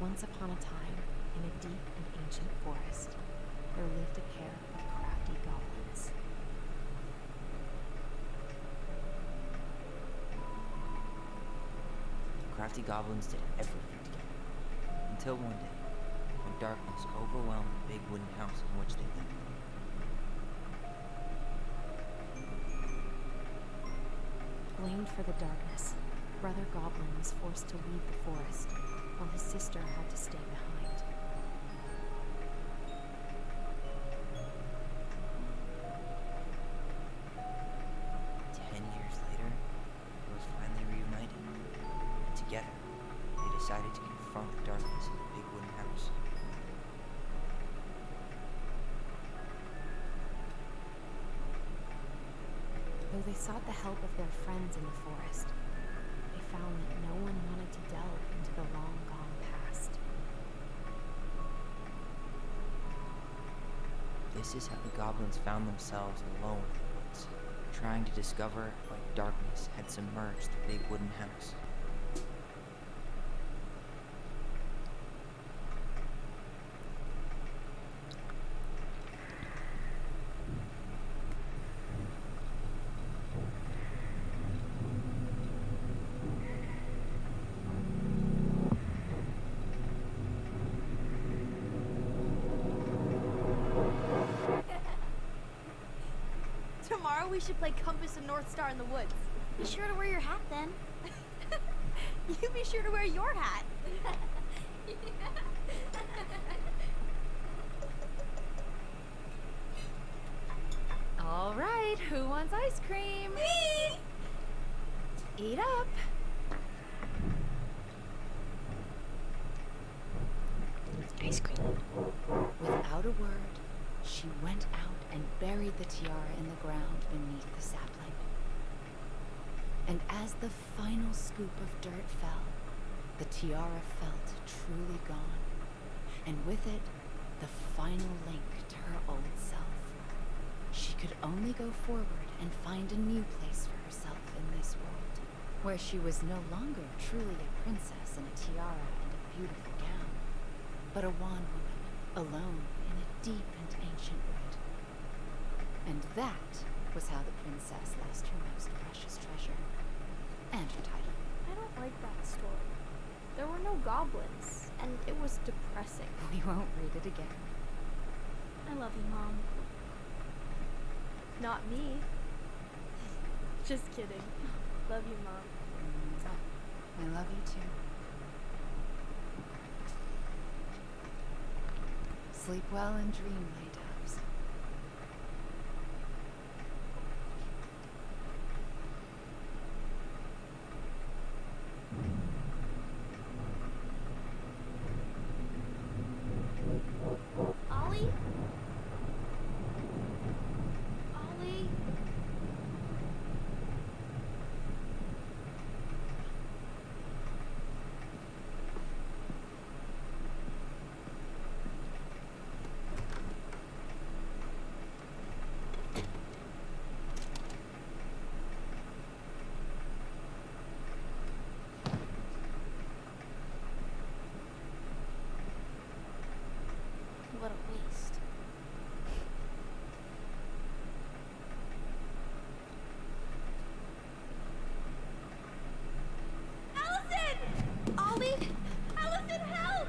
Once upon a time, in a deep and ancient forest, there lived a pair of crafty goblins. The crafty goblins did everything together, until one day, when darkness overwhelmed the big wooden house in which they lived. Blamed for the darkness, Brother Goblin was forced to leave the forest, while his sister had to stay behind. Ten years later, it was finally reunited, and together they decided to confront the darkness in the big wooden house. Though they sought the help of their friends in the forest, they found that no one wanted to delve into the long gone past. This is how the goblins found themselves alone in the woods, trying to discover why darkness had submerged the big wooden house. Tomorrow we should play Compass and North Star in the woods. Be sure to wear your hat then. you be sure to wear your hat. All right, who wants ice cream? Me! Eat up. Ice cream. Without a word, she went out and buried the tiara in the ground beneath the sapling. And as the final scoop of dirt fell, the tiara felt truly gone, and with it, the final link to her old self. She could only go forward and find a new place for herself in this world, where she was no longer truly a princess in a tiara and a beautiful gown, but a wan woman, alone in a deep and ancient wood, and that was how the princess lost her most precious treasure. And her title. I don't like that story. There were no goblins, and it was depressing. We won't read it again. I love you, Mom. Not me. Just kidding. Love you, Mom. I love you too. Sleep well and dream, my doves. Ollie? Ollie? What a waste. Allison! Ollie? Allison, help!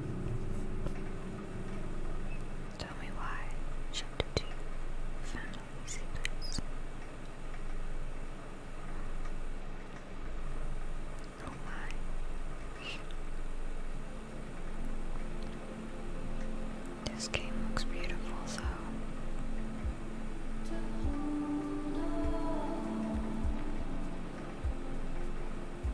Tell me why. Chapter 2 Found a Easy Place. This game looks beautiful, so.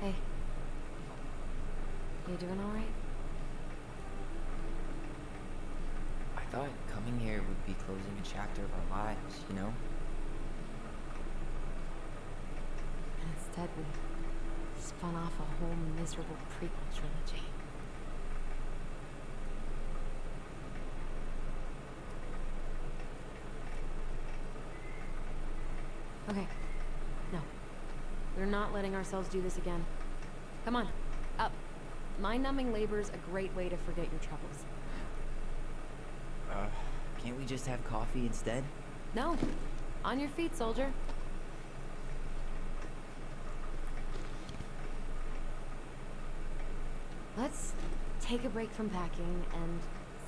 Hey. You doing all right? I thought coming here would be closing a chapter of our lives, you know? Instead, we spun off a whole miserable prequel trilogy. Okay. No. We're not letting ourselves do this again. Come on. Up. mind numbing labor's a great way to forget your troubles. Uh, can't we just have coffee instead? No. On your feet, soldier. Let's take a break from packing and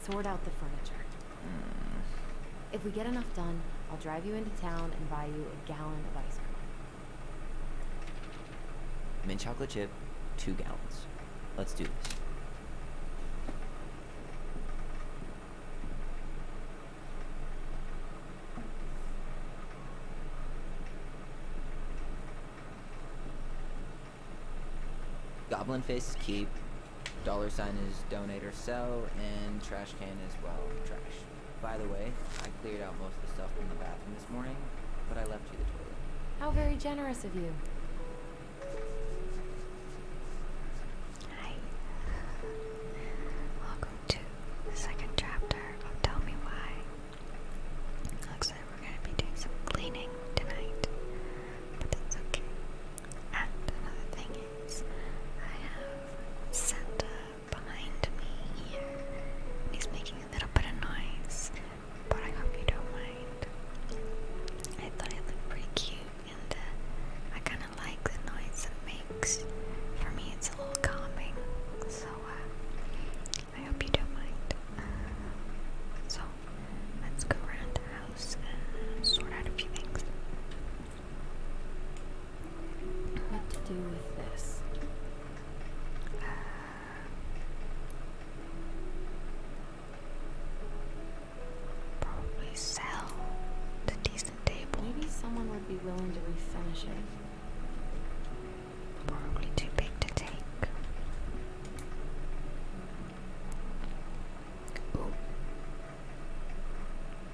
sort out the furniture. Hmm. If we get enough done, I'll drive you into town and buy you a gallon of ice cream. Mint chocolate chip, two gallons. Let's do this. Goblin face is keep. Dollar sign is donate or sell, and trash can is, well, trash. By the way, I cleared out most of the stuff in the bathroom this morning, but I left you the toilet. How very generous of you. Hi. Welcome to the second chapter Tell Me Why. Looks like we're gonna be doing some cleaning tonight, but that's okay. And another thing is, I have Santa behind me here. he's making a little bit of noise, but I hope you don't mind. I thought it looked pretty cute, and uh, I kind of like the noise it makes. For me, it's a little calming, so uh, I hope you don't mind. Um, so, let's go around the house and sort out a few things. What to do with this? Uh, probably sell the decent table. Maybe someone would be willing to refinish it. Probably too big to take. Ooh.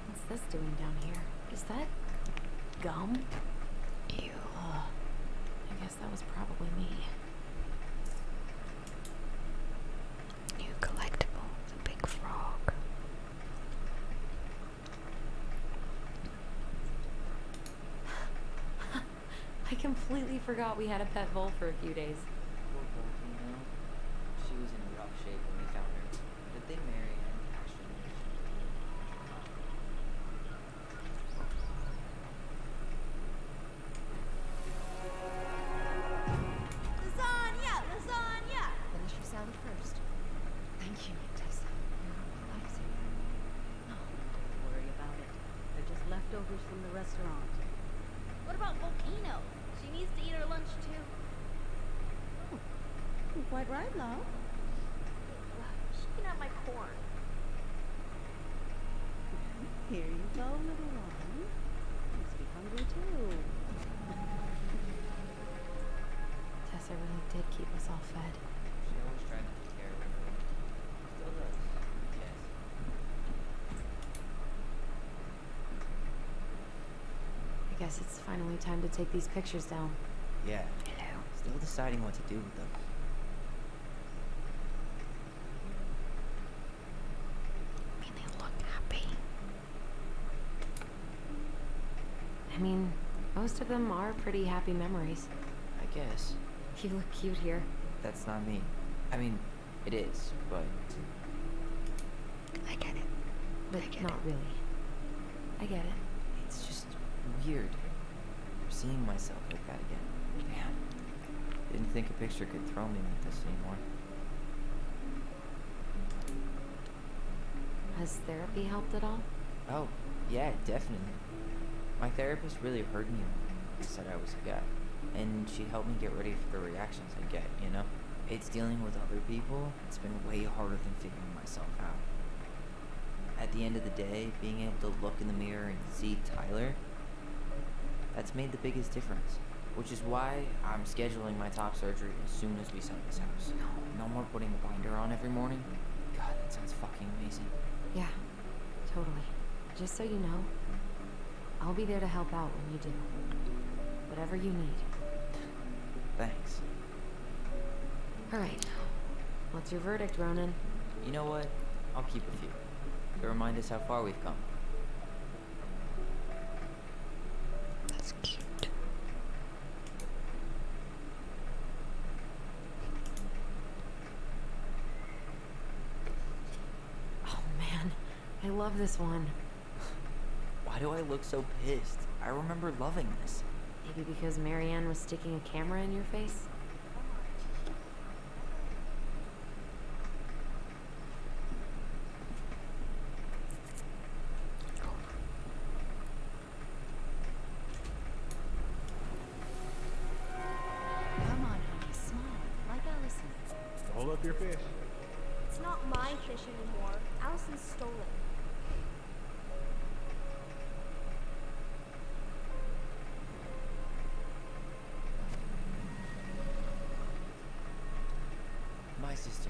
What's this doing down here? Is that gum? Ew. I guess that was probably me. New collectible, the big frog. I completely forgot we had a pet vole for a few days. Poor Bolton, you know? She was in rough shape when we found her. But they married Lasagna! Lasagna! Finish your salad first. Thank you, don't worry about it. They're just leftovers from the restaurant. What about Volcano? She needs to eat her lunch too. Hmm. quite right, now. She can have my corn. Here you go, little one. Must be hungry too. Tessa really did keep us all fed. She always tried to take care of everyone. I guess it's finally time to take these pictures down. Yeah. Hello. Still deciding what to do with them. I mean, they look happy. I mean, most of them are pretty happy memories. I guess. You look cute here. That's not me. I mean, it is, but... I get it. But I get not it. really. I get it. It's just weird. Seeing myself like that again. Man, didn't think a picture could throw me like this anymore. Has therapy helped at all? Oh, yeah, definitely. My therapist really heard me when I said I was a guy, and she helped me get ready for the reactions I get, you know? It's dealing with other people, it's been way harder than figuring myself out. At the end of the day, being able to look in the mirror and see Tyler, that's made the biggest difference. Which is why I'm scheduling my top surgery as soon as we sell this house. No, no more putting the binder on every morning. God, that sounds fucking amazing. Yeah, Totally. Just so you know, I'll be there to help out when you do. Whatever you need. Thanks. Alright. What's your verdict, Ronan? You know what? I'll keep a few. To remind us how far we've come. That's cute. Oh man, I love this one. Why do I look so pissed? I remember loving this. Maybe because Marianne was sticking a camera in your face? Come on, honey, smile, like Allison. Hold up your fish. It's not my fish anymore. Allison stole it. My sister,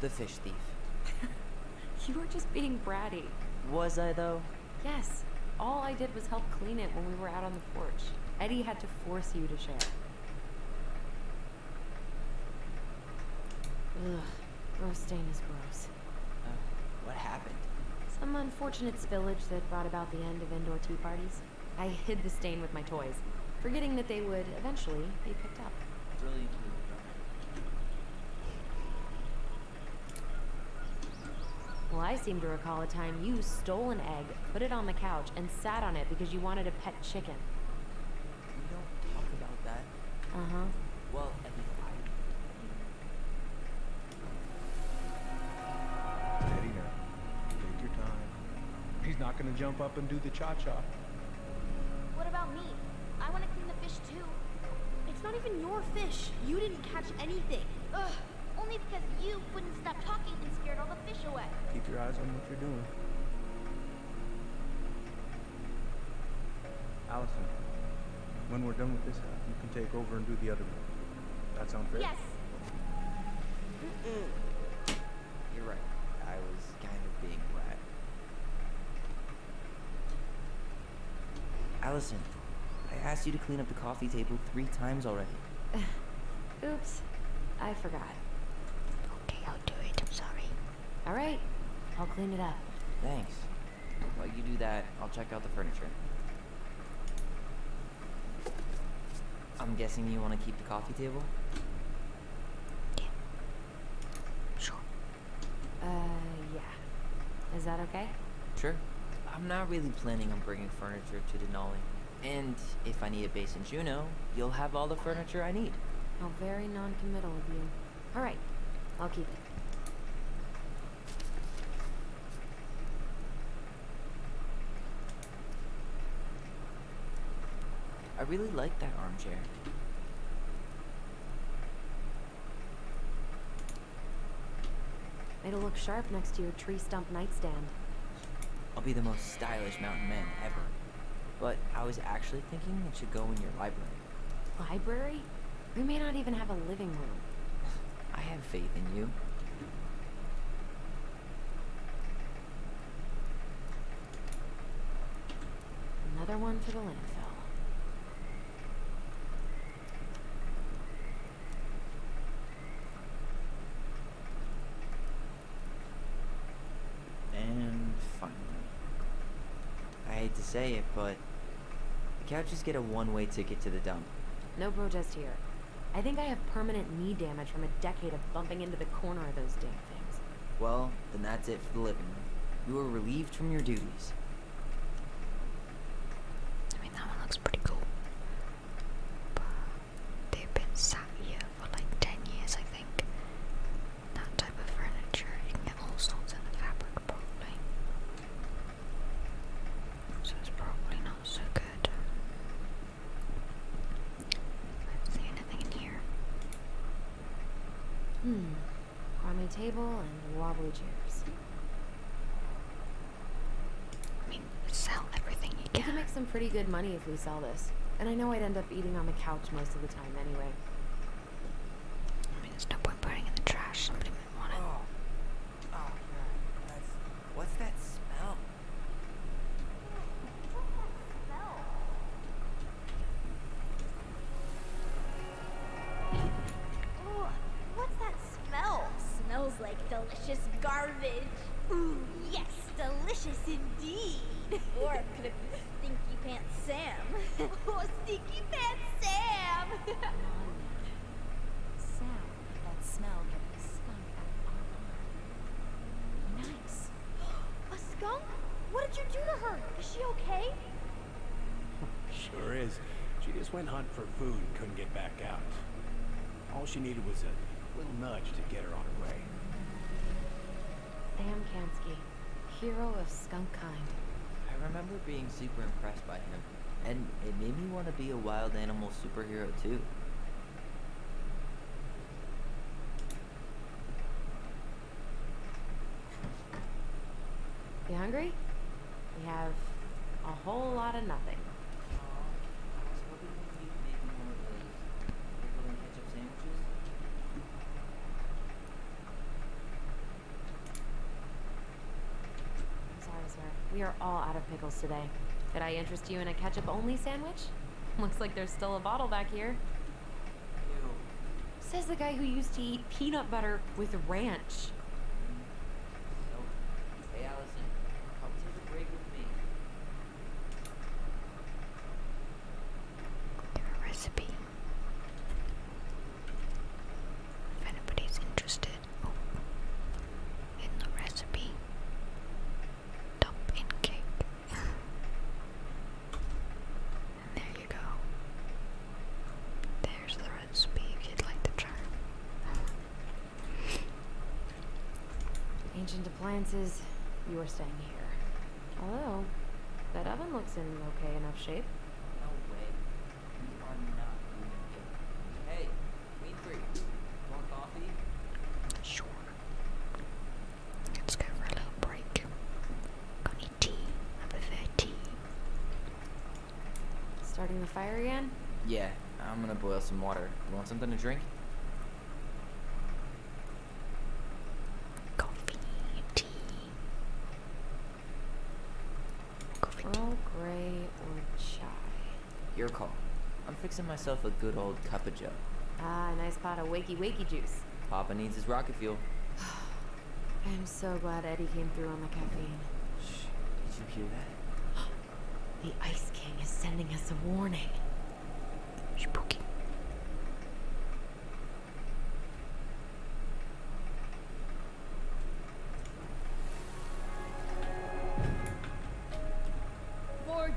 the fish thief. you were just being bratty. Was I, though? Yes. All I did was help clean it when we were out on the porch. Eddie had to force you to share. Ugh. Gross stain is gross. Uh, what happened? Some unfortunate spillage that brought about the end of indoor tea parties. I hid the stain with my toys, forgetting that they would eventually be picked up. Brilliant. Well, I seem to recall a time you stole an egg, put it on the couch, and sat on it because you wanted a pet chicken. We don't talk about that. Uh-huh. Well, Eddie, Take your time. He's not gonna jump up and do the cha-cha. What about me? I wanna clean the fish, too. It's not even your fish. You didn't catch anything. Ugh. Only because you wouldn't stop talking and scared all the fish away. Keep your eyes on what you're doing. Allison, when we're done with this half, uh, you can take over and do the other one. That sounds fair? Yes. You're right. I was kind of being black. Allison, I asked you to clean up the coffee table three times already. Oops, I forgot. Okay, I'll do it. I'm sorry. All right, I'll clean it up. Thanks. While you do that, I'll check out the furniture. I'm guessing you want to keep the coffee table? Yeah. Sure. Uh, yeah. Is that okay? Sure. Uh, I'm not really planning on bringing furniture to Denali. And if I need a base in Juneau, you'll have all the furniture I need. How oh, very non-committal of you. All right, I'll keep it. I really like that armchair. It'll look sharp next to your tree stump nightstand. I'll be the most stylish mountain man ever. But I was actually thinking it should go in your library. Library? We may not even have a living room. I have faith in you. Another one for the landfill. And finally. I hate to say it, but the couches get a one-way ticket to the dump. No protest here. I think I have permanent knee damage from a decade of bumping into the corner of those damn things. Well, then that's it for the living room. You are relieved from your duties. I mean, that one looks pretty cool they've been sat here for like 10 years, I think. That type of furniture, you can get all sorts in the fabric probably. So it's probably not so good. I don't see anything in here. Hmm. Army table and wobbly chairs. I mean, sell everything can. We can make some pretty good money if we sell this. And I know I'd end up eating on the couch most of the time anyway. I mean, there's no point putting in the trash. Somebody might want it. Oh, oh, what's that smell? What's that smell? Smells like delicious garbage. Ooh, yes, delicious indeed. Or could it be Stinky Pants Sam? oh, Stinky Pants Sam! Sam, that smell getting skunk out Nice. A skunk? What did you do to her? Is she okay? sure is. She just went hunt for food couldn't get back out. All she needed was a little nudge to get her on her way. Sam Kansky, hero of skunk kind. I remember being super impressed by him, and it made me want to be a wild animal superhero too. You hungry? We have a whole lot of nothing. I'm sorry, sir. We are all out of pickles today. Did I interest you in a ketchup-only sandwich? Looks like there's still a bottle back here. Says the guy who used to eat peanut butter with ranch. Hey, Allison, come take a break with me. Your recipe. If anybody's interested in the recipe, dump in cake. and there you go. There's the recipe you'd like to try. Ancient appliances, you are staying here. Although, that oven looks in okay enough shape. No way. You are not moving here. three. Want coffee? Sure. Let's go for a little break. Got any tea? I prefer tea. Starting the fire again? Yeah, I'm gonna boil some water. want something to drink? Coffee, tea. Earl Grey or chai? Your call. I'm fixing myself a good old cup of joe. Ah, a nice pot of wakey wakey juice. Papa needs his rocket fuel. I'm so glad Eddie came through on the caffeine. Shh, did you hear that? The Ice King is sending us a warning. Spooky.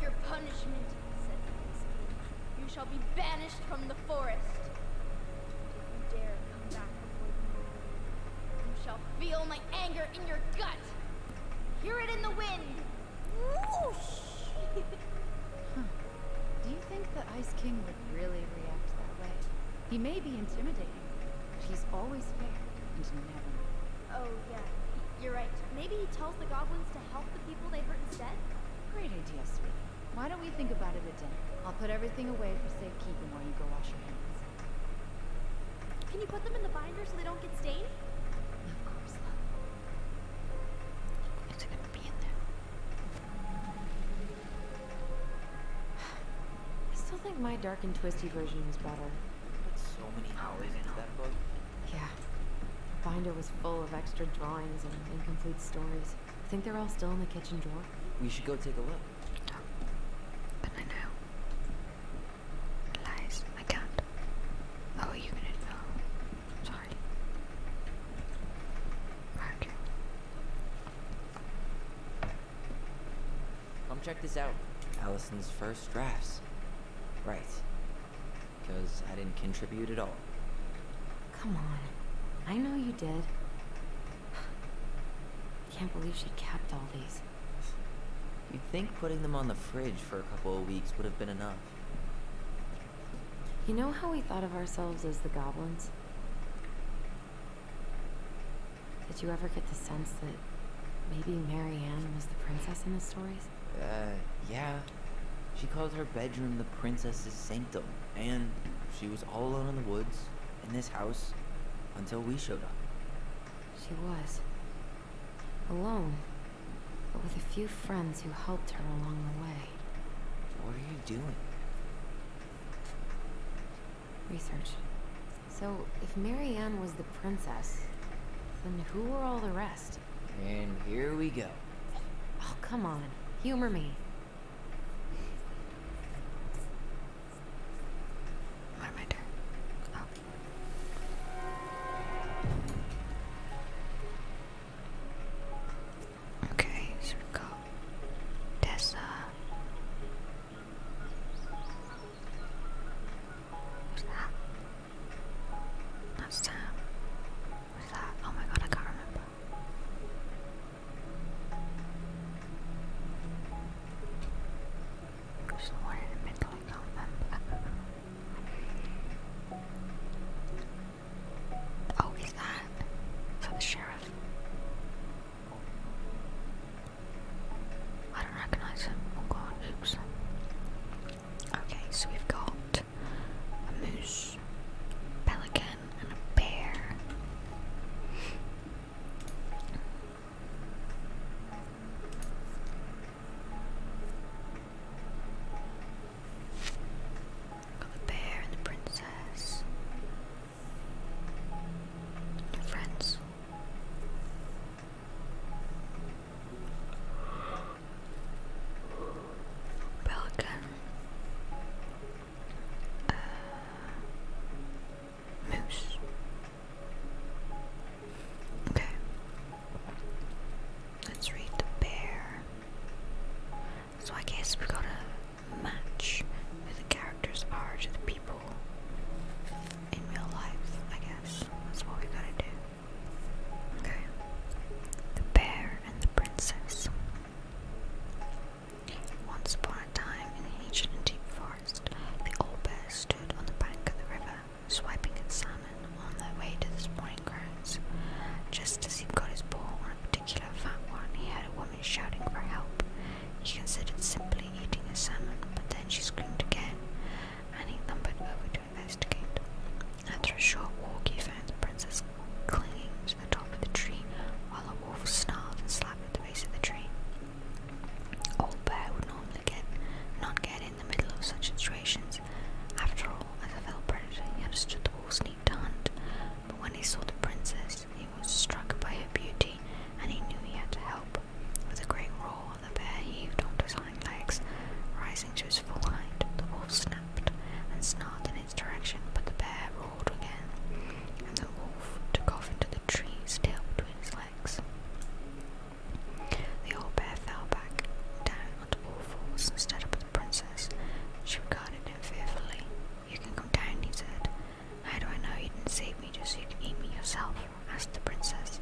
your punishment, said the Ice King. You shall be banished from the forest. If you dare come back you shall feel my anger in your gut. Hear it in the wind. Do you think the Ice King would really react that way? He may be intimidating, but he's always fair and never. Oh, yeah. You're right. Maybe he tells the goblins to help the people they hurt instead? Great idea, sweetie. Why don't we think about it at dinner? I'll put everything away for safekeeping while you go wash your hands. Can you put them in the binder so they don't get stained? Of course, It's gonna be in there. I still think my dark and twisty version was better. so many hours into that book. Yeah. The binder was full of extra drawings and incomplete stories. I think they're all still in the kitchen drawer. We should go take a look. But I know. Lies. I can't. Oh, you can info. Sorry. Okay. Come check this out. Allison's first drafts. Right. Because I didn't contribute at all. Come on. I know you did. I can't believe she kept all these. You'd think putting them on the fridge for a couple of weeks would have been enough. You know how we thought of ourselves as the goblins? Did you ever get the sense that maybe Marianne was the princess in the stories? Uh, yeah. She called her bedroom the princess's sanctum, and she was all alone in the woods, in this house, until we showed up. She was. Alone. But with a few friends who helped her along the way. What are you doing? Research. So, if Marianne was the princess, then who were all the rest? And here we go. Oh, come on. Humor me. What am Okay, so we got Tessa. What's that? That's Sam. What's that? Oh my god, I can't remember. There's one in the middle, I Oh, is that? Is that the sheriff? I don't recognise him. Oh god, oops. Okay, so we've got a moose, pelican, and a bear the bear and the princess. friends. Pelican. Uh, moose. Okay. Let's read the bear. So I guess we gotta match the characters are to the people in real life, I guess. That's what we gotta do. Okay. The bear and the princess. Once upon a time in ancient and deep forest. The old bear stood on the bank of the river, swiping at salmon on their way to the spawning grounds. Just as he got his paw on a particular fat one, he heard a woman shouting for help. He considered simply eating a salmon, but then she screamed again, and he lumbered over to investigate. After a short walk, he found the princess clinging to the top of the tree while a wolf snarled and slapped at the base of the tree. Old oh, Bear would normally get not get in the middle of such situations. After all, as a fell predator, he understood the wolf's need to hunt. But when he saw the princess, he was struck by her beauty, and he knew he had to help. With a great roar, the bear heaved onto his hind legs, rising to his full height. The wolf snapped and snarled in its direction, but the bear roared again, and the wolf took off into the trees, tail between his legs. The old bear fell back down onto all fours and stood up at the princess. She regarded him fearfully. You can come down, he said. How do I know you didn't save me just so you could eat me yourself? asked the princess.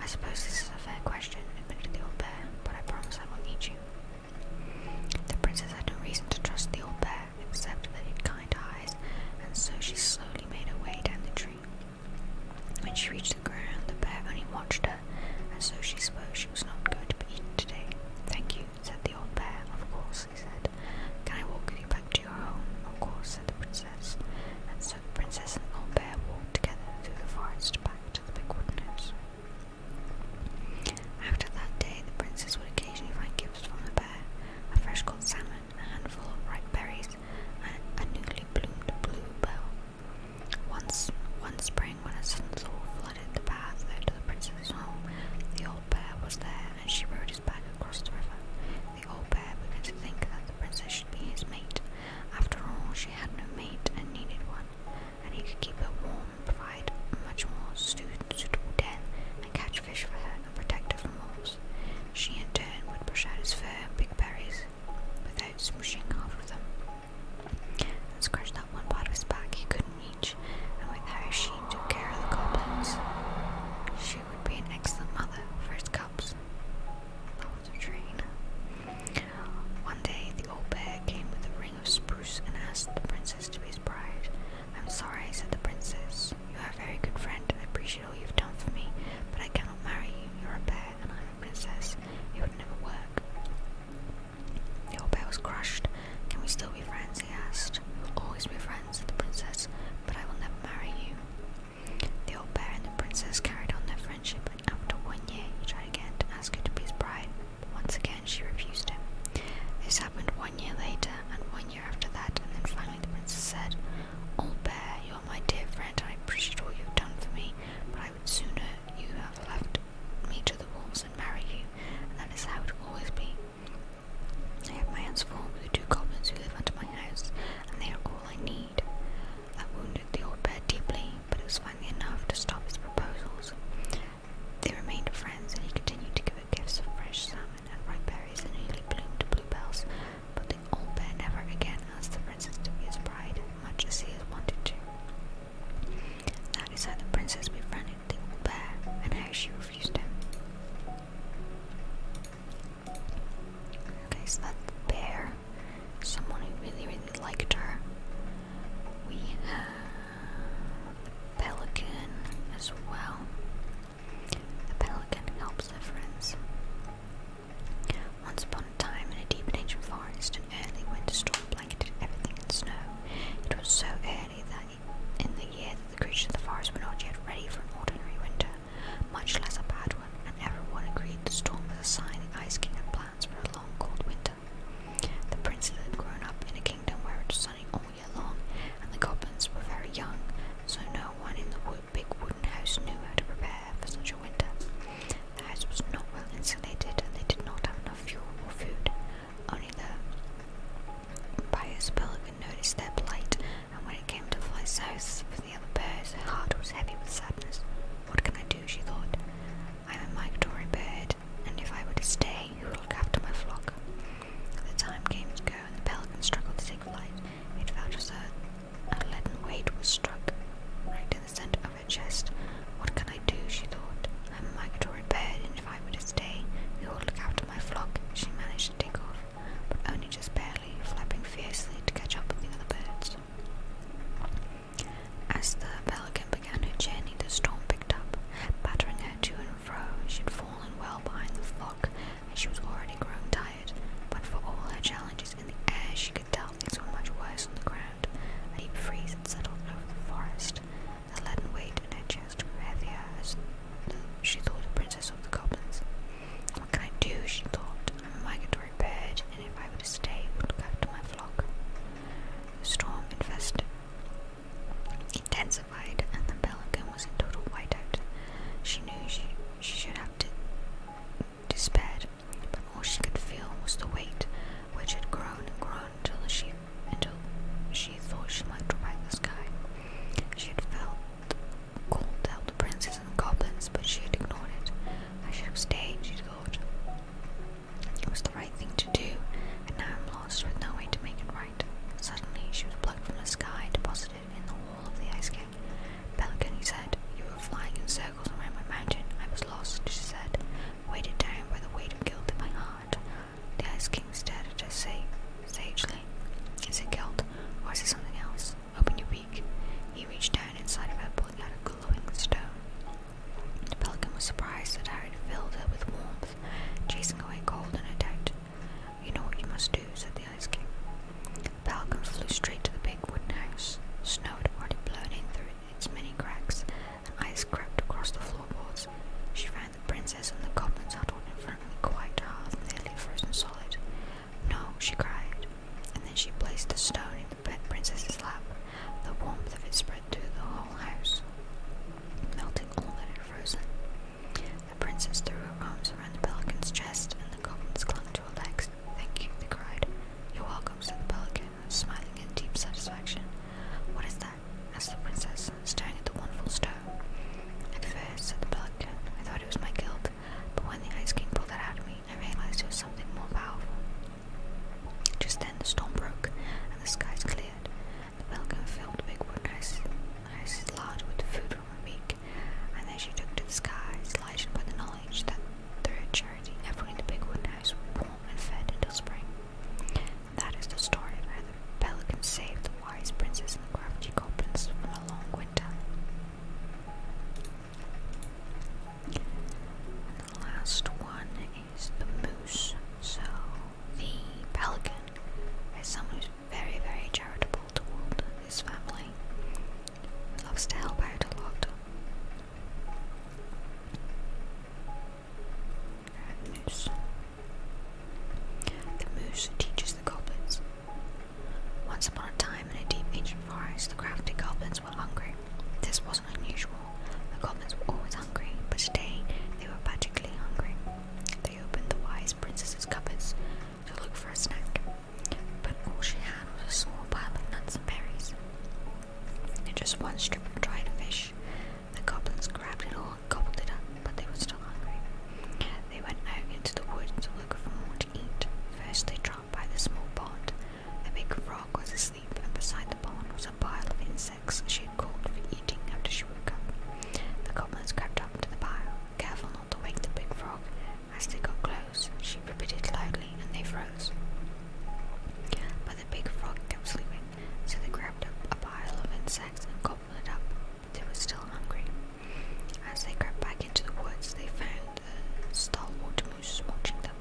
I suppose this is a fair question, admitted the old bear, but I promise I won't eat you. The princess had no reason to trust the old bear, except that he had kind eyes, and so she slowly made her way down the tree when she reached the ground, the bear only watched her, and so she spoke she was not going to be eaten today. Thank you, said the old bear. Of course, he said. Can I walk with you back to your home? Of course, said the princess. And so the princess and the old bear walked together through the forest back to the big wooden house. After that day, the princess would occasionally find gifts from the bear, a fresh caught salmon a handful of ripe berries, and a newly bloomed bluebell. Once, one spring, when a sudden thaw flooded the path that to the princess's home, the old bear was there, and she rode his back across the river. The old bear began to think that the princess should be his mate. After all, she had no mate and needed one, and he could keep her warm and provide a much more suitable den and catch fish for her and protect her from wolves. She in turn would push out his fur and pick berries without smushing half of them. And scratch that one part of his back he couldn't reach, and with her she took care of the goblins. She would be an excellent mother for his cubs. That was a train. One day the old bear came with a ring of spruce and asked the princess to be his bride. I'm sorry, said the princess. You are a very good friend, I appreciate all you've done for me, but I cannot marry you. You're a bear, and I'm a princess. It would never work. The old bear was crushed. Can we still be friends? He asked. We'll always be friends, said the princess, but I will never marry you. The old bear and the princess carried on their friendship, and after one year, he tried again to ask her to be his bride. once again, she refused him. This happened one year later, and one year after that, and then finally the princess said, Old bear, my dear friend, I appreciate all you've done for me, but I would sooner you have left me to the wolves and marry you, that is how it will always be. I have my hands full with the two goblins who live under my house, and they are all I need. That wounded the old bear deeply, but it was finally enough to stop his proposals. They remained friends, and he continued to give her gifts of fresh salmon and ripe berries and newly bloomed bluebells, but the old bear never again asked the princess to be his bride, much as he had wanted to. That is how the princess befriended the old bear, and how she refused him. Okay, so that's the bear. Someone who really, really liked her. We have pelican as well. The pelican helps their friends. Once upon a time, in a deep and ancient forest, an early winter storm blanketed everything in snow. It was so early that in the year that the creatures of the forest were not yet ready for an ordinary winter, much less a bad one, and everyone agreed the storm was a sign the Ice King had plans for a long, cold winter. The princes had grown up in a kingdom where it was sunny all year long, and the goblins were very young, so no one in the a big wooden house knew how to prepare for such a winter. The house was not well insulated and they did not have enough fuel or food. Only the pious pelican noticed their plight, and when it came to fly south with the other birds, her heart was heavy with sadness. What can I do? she thought. I am a migratory bird, and if I were to stay, who would look after my flock? The time came to go, and the pelican struggled to take flight. It felt as a leaden weight was struck right in the center of her chest. What can I do? she thought. I'm a migratory bird, and if I were to stay, who would look after my flock? She managed to take off, but only just barely, flapping fiercely to catch up with the other birds. As the pelican began her journey, the storm picked up, battering her to and fro. She'd fallen well behind the flock, and she was already growing tired, but for all her challenges in the air, she could tell things were much worse on the ground. A deep freeze had settled over the forest. The leaden weight in her chest grew heavier as she thought the princess of the goblins. What can I do? she thought. a migratory bird, and if I were to stay, it would look to my flock. The storm infested, intensified, and the pelican was in total whiteout. She knew she, she should have to despaired, but all she could feel was the weight which had grown and grown until she until she thought she might drop the sky. She had felt called out the princes and the goblins, but she had ignored it. I should have stayed, she thought. It was the right thing to do, and now I'm lost with no way to make it right. Suddenly she was plucked from the sky, deposited in the wall of the ice cave. Pelican, he said, you were flying in circles around my mountain. I was lost, she said, weighted down by the weight of guilt in my heart. The Ice King stared at her say, sagely. Is it guilt, or is it something else? Open your beak. He reached down inside of her, pulling out a glowing stone. The pelican was surprised that I had filled her with warmth, chasing away cold and a doubt. You know what you must do, said the the Ice flew straight to the big wooden house. Snow had already blown in through its many cracks, and ice crept across the floorboards. She found the princess and the goblins huddled in front of the quiet hearth, nearly frozen solid. No, she cried, and then she placed the stone in the princess's lap. The warmth of it spread through the whole house, melting all that had frozen. The princess threw her arms around the pelican's chest, and the goblins clung to her to Thank you, they cried. You're welcome, said the pelican, smiling in deep satisfaction. What is that? asked the princess, staring at the wonderful stone. At first, said the pelican, I thought it was my guilt, but when the ice king pulled it out of me, I realized it was something more powerful. Just then the storm broke, and the skies cleared. The pelican filled the big wooden ice, ice large with food from a meat and then she took to the skies, lighted by the knowledge that through charity everyone in the big wood house was warm and fed until spring. that is the story of how the pelican saved the wise princess and the crafty goblins from a long winter. the last one is the moose. So the pelican is someone who's very, very charitable toward his family. loves to help out a lot. The moose. The moose teaches the goblins. Once upon a time in a deep ancient forest, the crafty goblins were hungry. This wasn't unusual. The goblins were always hungry, but today they were particularly hungry. They opened the wise princess's cupboards to look for a snack but all she had was a small pile of nuts and berries. And just one strip of dried fish. The goblins grabbed it all and gobbled it up, but they were still hungry. They went out into the woods to look for more to eat. First, they dropped by the small pond. A big frog was asleep, and beside the pond was a pile of insects she had caught for eating after she woke up. The goblins crept up to the pile, careful not to wake the big frog. As they got close, froze, she repeated loudly, and they froze. But the big frog kept sleeping, so they grabbed up a pile of insects and gobbled it up, but they were still hungry. As they crept back into the woods, they found the stalwart moose watching them.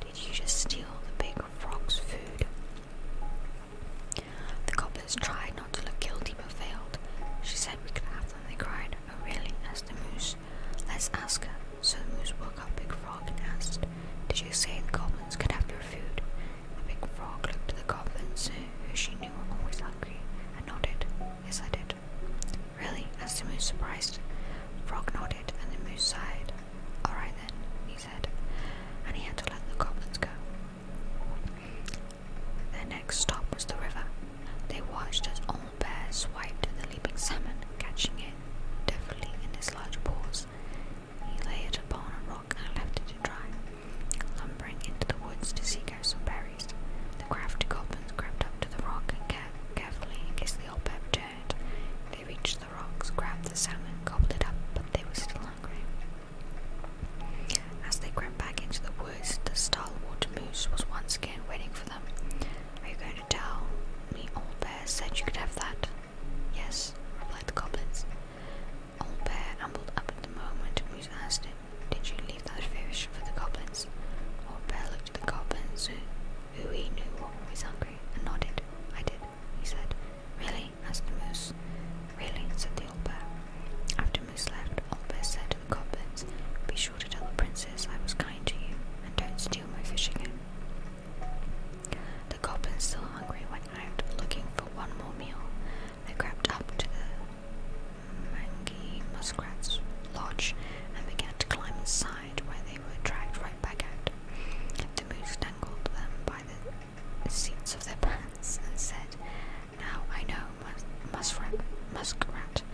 Did you just steal the big frog's food? The goblins tried not to look guilty but failed. She said we could have them, they cried. Oh really? asked the moose. Let's ask her. So the moose woke up Big Frog and asked, Did you say the goblins could have your food? The big frog looked at the goblins, who she knew were always hungry, and nodded. Yes, I did. Really? asked the moose, surprised. frog nodded, and the moose sighed. Alright then, he said, and he had to let the goblins go. Their next stop was the river. They watched as old bear swiped at the leaping salmon, catching it deftly in his large paws. He laid it upon a rock and left it to dry, lumbering into the woods to seek out some berries. The crafty goblins crept up to the rock and care carefully in case the old bear returned. They reached the rocks, grabbed the salmon, gobbled it up, but they were still hungry. As they crept back into the woods, the star water moose was once again waiting for them. Are you going to tell me Old Bear said you could have that? Yes, replied the goblins. Old Bear ambled up at the moment Moose asked Did you leave that fish for the goblins? Old Bear looked at the goblins, who, he knew was always hungry, and nodded. I did, he said. Really? asked the moose. Really, said the old bear. After Moose left, Old Bear said, to the goblins. Be sure to tell the princess I was kind to you, and don't steal my fish again. The goblins, still hungry, went out looking for one more meal. They crept up to the muskrat's lodge and began to climb inside, where they were dragged right back out. The moose tangled them by the seats of their pants and said, "Now I know, muskrat, muskrat, Cat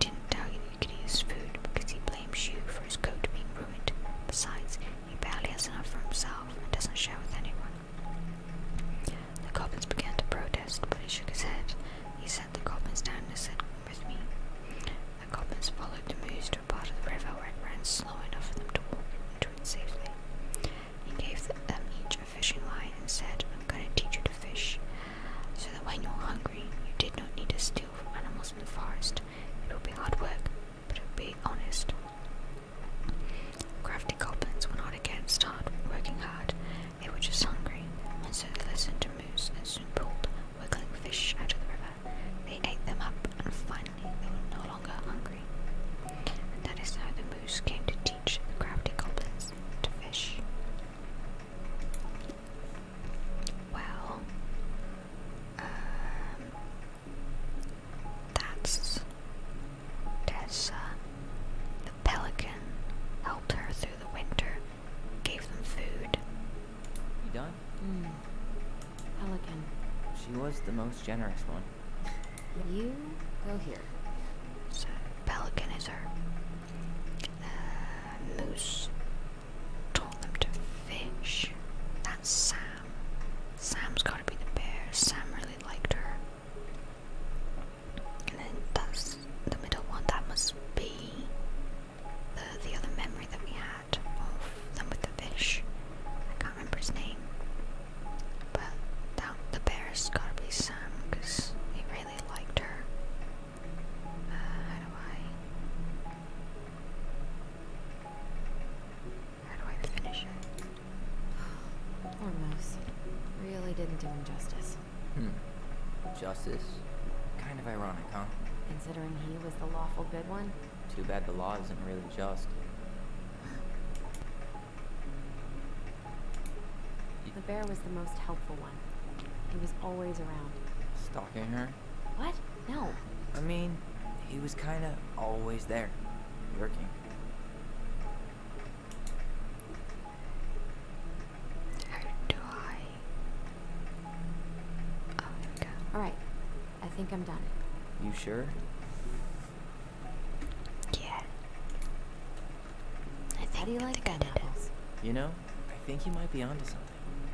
didn't tell you he could use food because he blames you for his coat being ruined. Besides, he barely has enough for himself and doesn't share with anyone. The goblins began to protest, but he shook his head. He said, the goblins down and said, With me. The goblins followed the moose to a part of the river where it ran slow enough for them to walk into it safely. He gave them each a fishing line and said, I'm going to teach you to fish so that when you were hungry, you did not need to steal from animals in the forest. It would be hard work, but it would be honest. Crafty goblins were not against hard working hard, they were just hungry, and so they listened to Moose and soon pulled wiggling fish out of the river. They ate them up, and finally they were no longer hungry. And that is how the moose came to teach the crafty goblins to fish. Well, um, that's Tessa. The pelican helped her through the winter, gave them food. You done? Hmm. Pelican. She was the most generous one. You go here. So, pelican is her uh, moose told them to fish. That's Sam. Sam's gotta be the bear. Sam really liked her. And then that's the middle one. That must be the the other memory that we had of them with the fish. I can't remember his name. But that, the bear's gotta be Sam because he really liked her how do I. How do I finish it? Ormos. Really didn't do him justice. Hmm. Justice? Kind of ironic, huh? Considering he was the lawful good one? Too bad the law isn't really just. The bear was the most helpful one. He was always around. Stalking her? What? No. I mean, he was kind of always there, lurking. How do I? Oh, there we go. Alright, I think I'm done. You sure? Yeah. I think, How do you like I apples? You know, I think he might be onto something.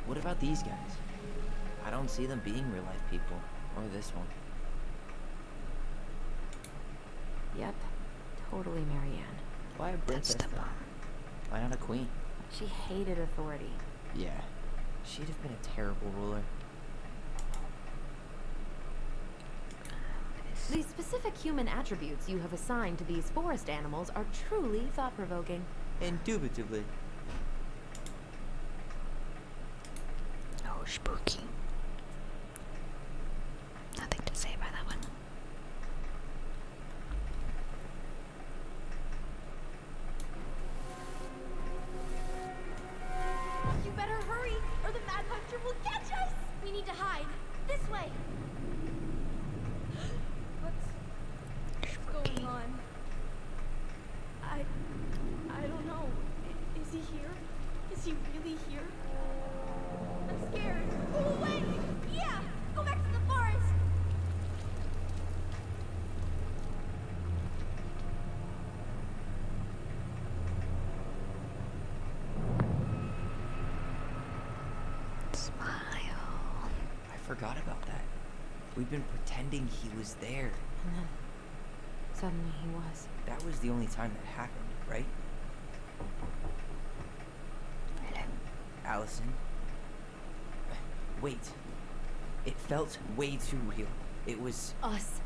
What about these guys? I don't see them being real life people, or this one. Yep, totally Marianne. Why a princess? That's Why not a queen? She hated authority. Yeah, she'd have been a terrible ruler. The specific human attributes you have assigned to these forest animals are truly thought-provoking. Indubitably. Oh, spooky. Nothing to say about that one. You better hurry, or the Mad Hunter will catch us! We need to hide. This way! What's going on? I... I don't know. is he here? Is he really here? I'm scared. Go away! Yeah! Go back to the forest! Smile. I forgot about that. We've been pretending he was there. And then, suddenly he was. That was the only time that happened, right? Allison? Wait. It felt way too real. It was... Us.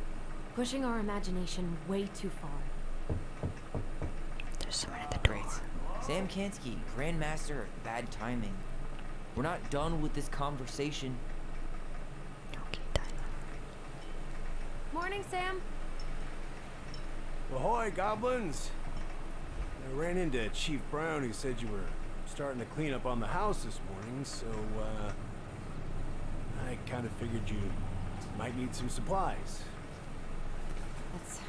Pushing our imagination way too far. There's someone at the door. Sam can't Grandmaster of Bad Timing. We're not done with this conversation. Morning, Sam. Ahoy, goblins! I ran into Chief Brown who said you were starting to clean up on the house this morning, so, uh, I kind of figured you might need some supplies. That's...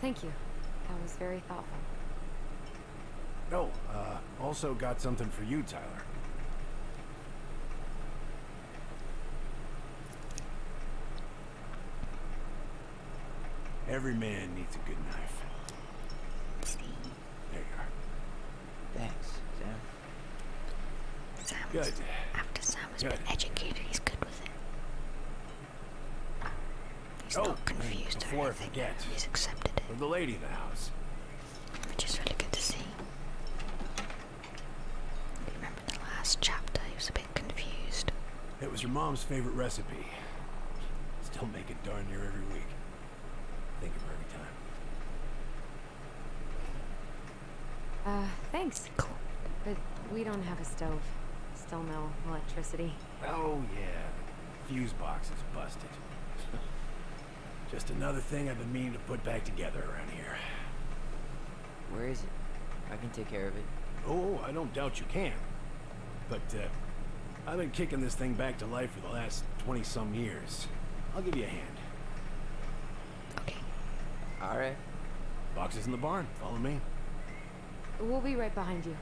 Thank you. That was very thoughtful. No, oh, uh, also got something for you, Tyler. Every man needs a good knife. There you are. Thanks, Sam. Sam Good. After Sam has been educated, he's good with it. He's oh, not confused He's accepted the lady of the house. Which is really good to see. Remember the last chapter, he was a bit confused. It was your mom's favorite recipe. Still make it darn near every week. Thank you for every time. Uh, thanks. But we don't have a stove. Still no electricity. Oh, yeah. fuse box is busted. Just another thing I've been meaning to put back together around here. Where is it? I can take care of it. Oh, I don't doubt you can. But, uh, I've been kicking this thing back to life for the last 20-some years. I'll give you a hand. Okay. Alright. Box is in the barn. Follow me. We'll be right behind you.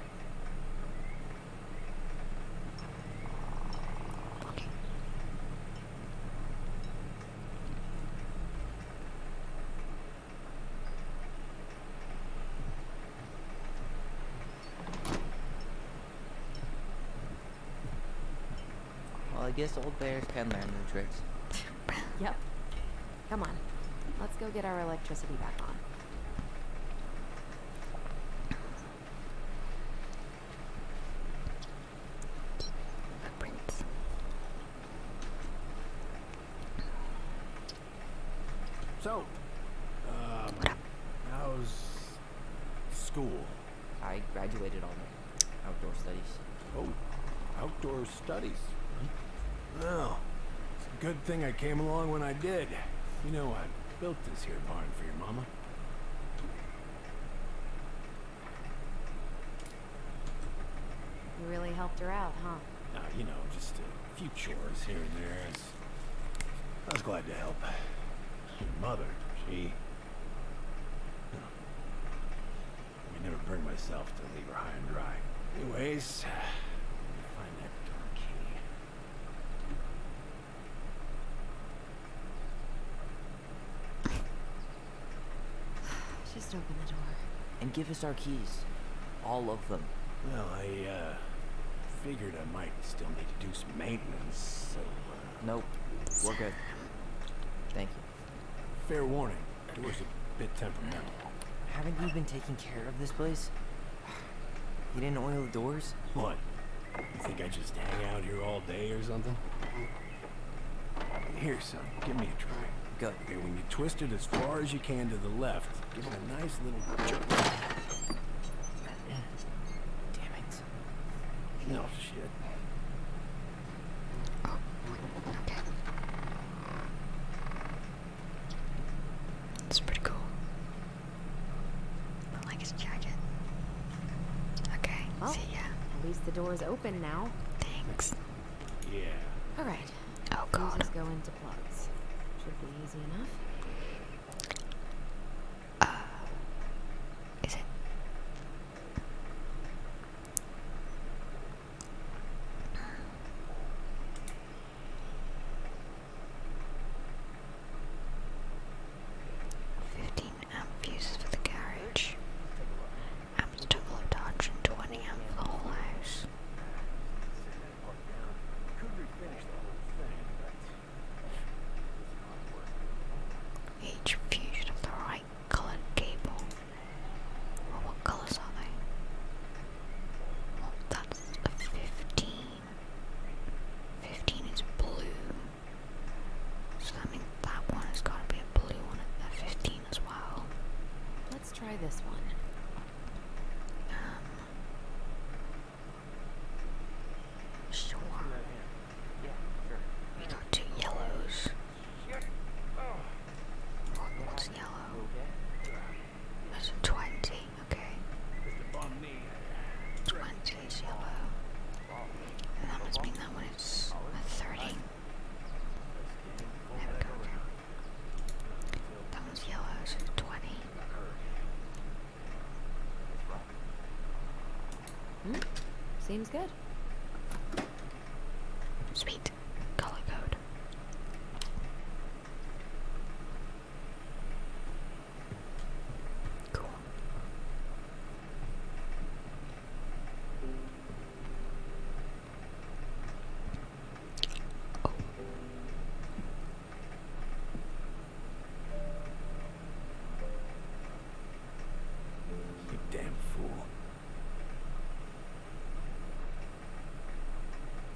Well, I guess old bears can learn new tricks. yep. Come on, let's go get our electricity back on. So, um, how's school? I graduated on outdoor studies. Oh, outdoor studies. Well, it's a good thing I came along when I did. You know, I built this here barn for your mama. You really helped her out, huh? Now, uh, you know, just a few chores here and there. I was glad to help. Your mother, she... I never bring myself to leave her high and dry. Anyways, just open the door. And give us our keys. All of them. Well, I, uh, figured I might still need to do some maintenance, uh, Nope. We're good. Thank you. Fair warning. Door's a bit temperamental. Haven't you been taking care of this place? You didn't oil the doors? What? You think I just hang out here all day or something? Here, son. Give me a try. Good. there when you twist it as far as you can to the left, give it a nice little jerk. Damn it. No shit. Oh, okay. That's pretty cool. I like his jacket. Okay, oh, see ya. At least the door is open now. Thanks. Yeah. Alright. Oh god. Let's go into plugs. Should be easy enough. Uh, is it? Fifteen amp fuses for the garage. Amps to all and twenty amp for the whole house. Each fuse of the right coloured cable. what colours are they? Well, that 15. 15 is blue. So that means that one has got to be a blue one at 15 as well. Let's try this one. Um, sure. Yeah, We got two yellows. Oh. what's yellow? That's 20, okay. 20 is yellow. And that must mean that one is 30. There we go, That one's yellow, so 20. Hmm, seems good. Sweet color code. Cool. Oh. You damn fool.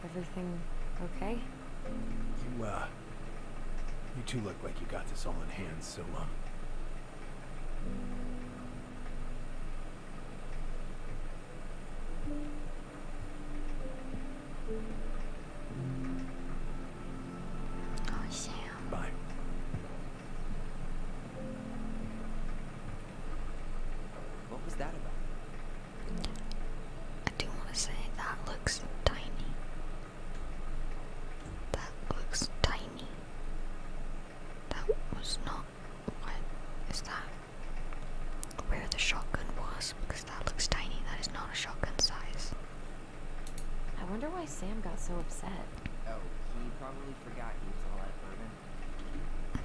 Everything okay? You, uh... You two look like you got this all in hand, so, um... Oh, Sam. Bye. What was that about? I do want to say that looks tiny. That looks tiny. That was not what is that? Where the shotgun was, because that looks tiny. That is not a shotgun size. I wonder why Sam got so upset. Oh, he probably forgot he was all that bourbon.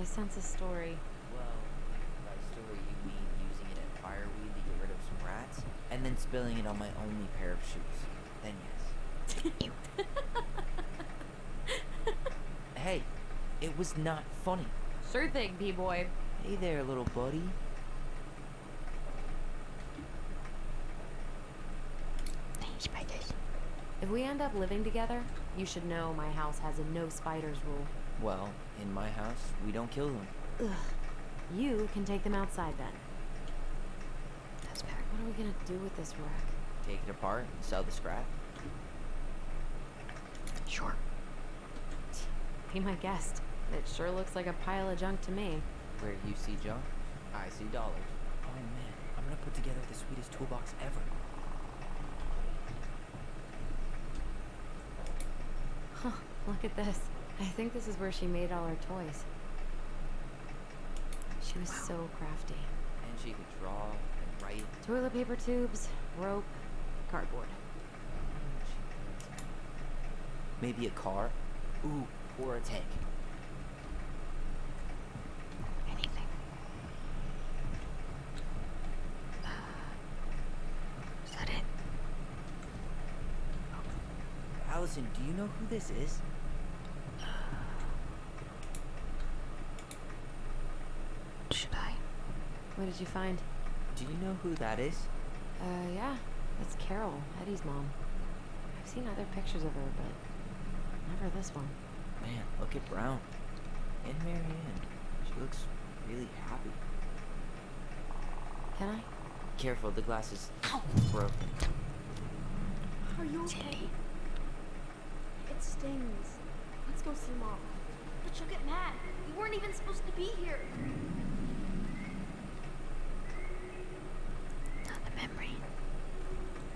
I sense a story. Well, by story you mean using it as fireweed to get rid of some rats, and then spilling it on my only pair of shoes. Then yes. hey, it was not funny. Sure thing, P-Boy. Hey there, little buddy. If we end up living together, you should know my house has a no spiders rule. Well, in my house, we don't kill them. Ugh. You can take them outside then. That's better. What are we gonna do with this wreck? Take it apart and sell the scrap? Sure. Be my guest. It sure looks like a pile of junk to me. Where you see junk, I see dollars. Oh man, I'm gonna put together the sweetest toolbox ever. Huh, look at this. I think this is where she made all her toys. She was so crafty. And she could draw and write. Toilet paper tubes, rope, cardboard. Maybe a car? Ooh, or a tank? Anything. Uh, is that it? Oh. Allison, do you know who this is? Uh, should I? What did you find? Do you know who that is? Uh, yeah. It's Carol, Eddie's mom. I've seen other pictures of her, but never this one. Man, look at Brown. And Marianne. She looks really happy. Can I? Careful, the glass is Ow. broken. Are you okay? It stings. Let's go see Mom. But she'll get mad. We weren't even supposed to be here. Not the memory.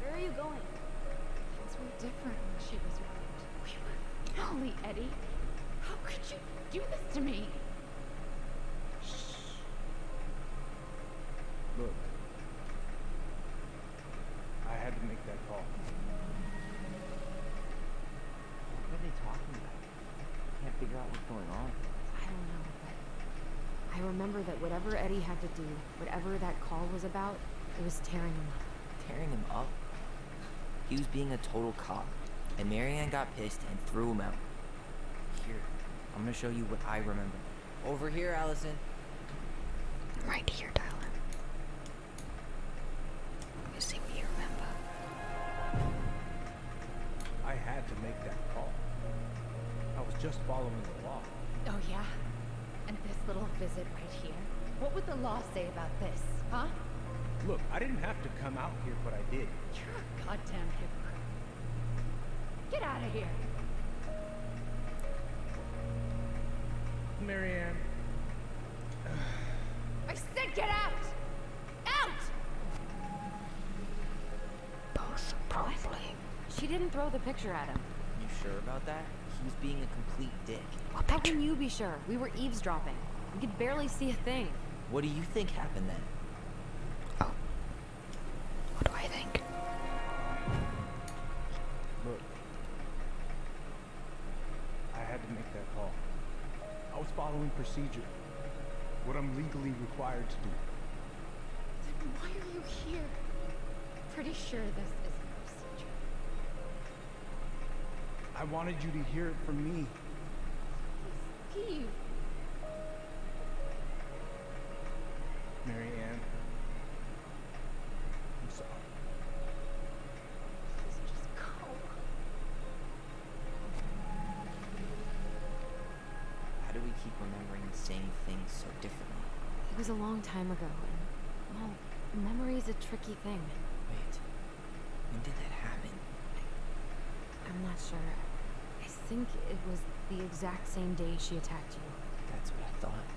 Where are you going? Things were different when she was around. We Eddie. How could you do this to me? Shh. Look. I had to make that call. What are they talking about? I can't figure out what's going on. I don't know, I remember that whatever Eddie had to do, whatever that call was about, it was tearing him up. Tearing him up? He was being a total cop, and Marianne got pissed and threw him out. Here, I'm gonna show you what I remember. Over here, Allison. Right here, Tyler. Let me see what you remember. I had to make that call. I was just following the law. Oh, yeah? And this little visit right here? What would the law say about this, huh? Look, I didn't have to come out here, but I did. You're a goddamn hypocrite. Get out of here! Marianne. I said get out! Out! Most she didn't throw the picture at him. You sure about that? He was being a complete dick. How can you be sure? We were eavesdropping. We could barely see a thing. What do you think happened then? Oh. What do I think? Look. I had to make that call. I was following procedure. What I'm legally required to do. Then why are you here? Pretty sure this isn't procedure. I wanted you to hear it from me. Please, Steve. I'm sorry. Please just go. How do we keep remembering the same thing differently. It was a long time ago, and, well, memory is a tricky thing. Wait, when did that happen? I, am not sure. I think it was the exact same day she attacked you. That's what I thought.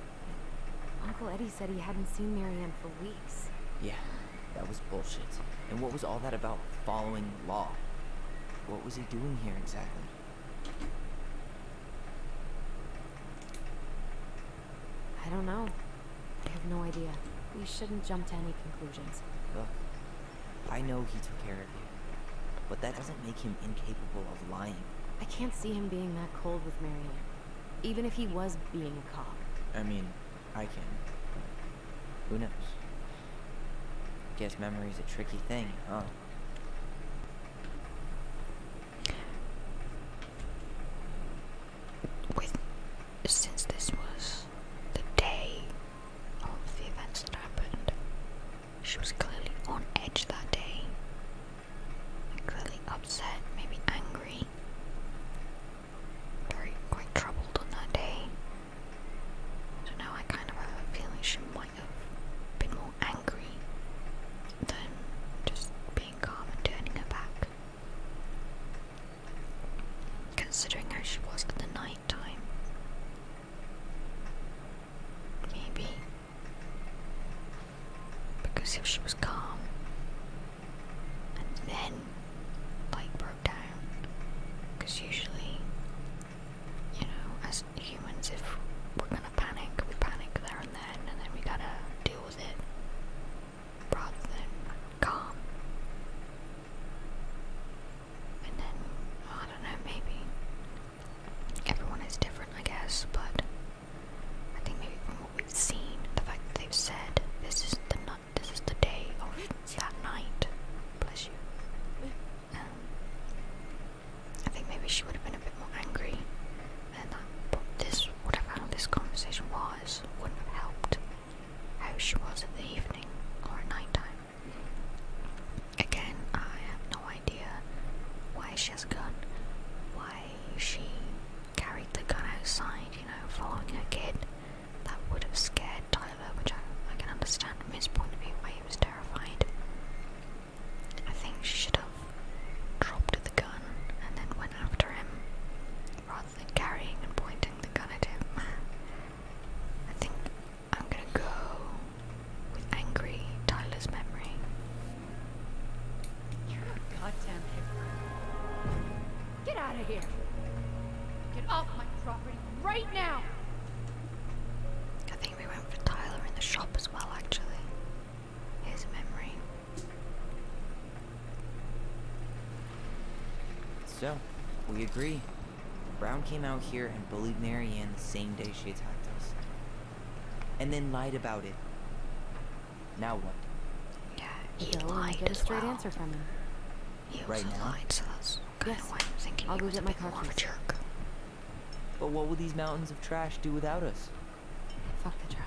Uncle Eddie said he hadn't seen Marianne for weeks. Yeah, that was bullshit. And what was all that about following law? What was he doing here exactly? I don't know. I have no idea. We shouldn't jump to any conclusions. Look, I know he took care of you, but that doesn't make him incapable of lying. I can't see him being that cold with Marianne, even if he was being a cop. I mean, I can, but who knows? Guess memory's a tricky thing, huh? with since this was the day of the events that happened, she was clearly on edge that day. Clearly upset, maybe angry, very quite troubled on that day. So now I kind of have a feeling she might have been more angry than just being calm and turning her back. Considering how she was at the night Maybe. Because if she was calm and then, like, broke down, because usually, you know, as humans, if we're gonna panic, we panic there and then, and then we gotta deal with it rather than calm. And then, I don't know, maybe everyone is different, I guess, but I think maybe from what we've seen, the fact that they've said this is the nut, this is the day of that night. Bless you. Um, I think maybe she would have been a bit more angry, and that, but this, whatever how this conversation was, wouldn't have helped how she was in the evening or at night time. Again, I have no idea why she has a why she carried the gun outside, you know, following her kid. That would have scared Tyler, which I can understand from his point of view why he was terrified. I think she should have dropped the gun and then went after him rather than carrying and pointing the gun at him. I think I'm gonna go with angry Tyler's memory. You're a goddamn hypocrite. Get out of here! Get off my property right now! I think we went for Tyler in the shop as well, actually his memory. So, we agree. Brown came out here and bullied Marianne the same day she attacked us. And then lied about it. Now what? he lied get a He also right lied, so that's kind yes. I'm thinking I'll he was a my bit more jerk. But what will these mountains of trash do without us? Fuck the trash.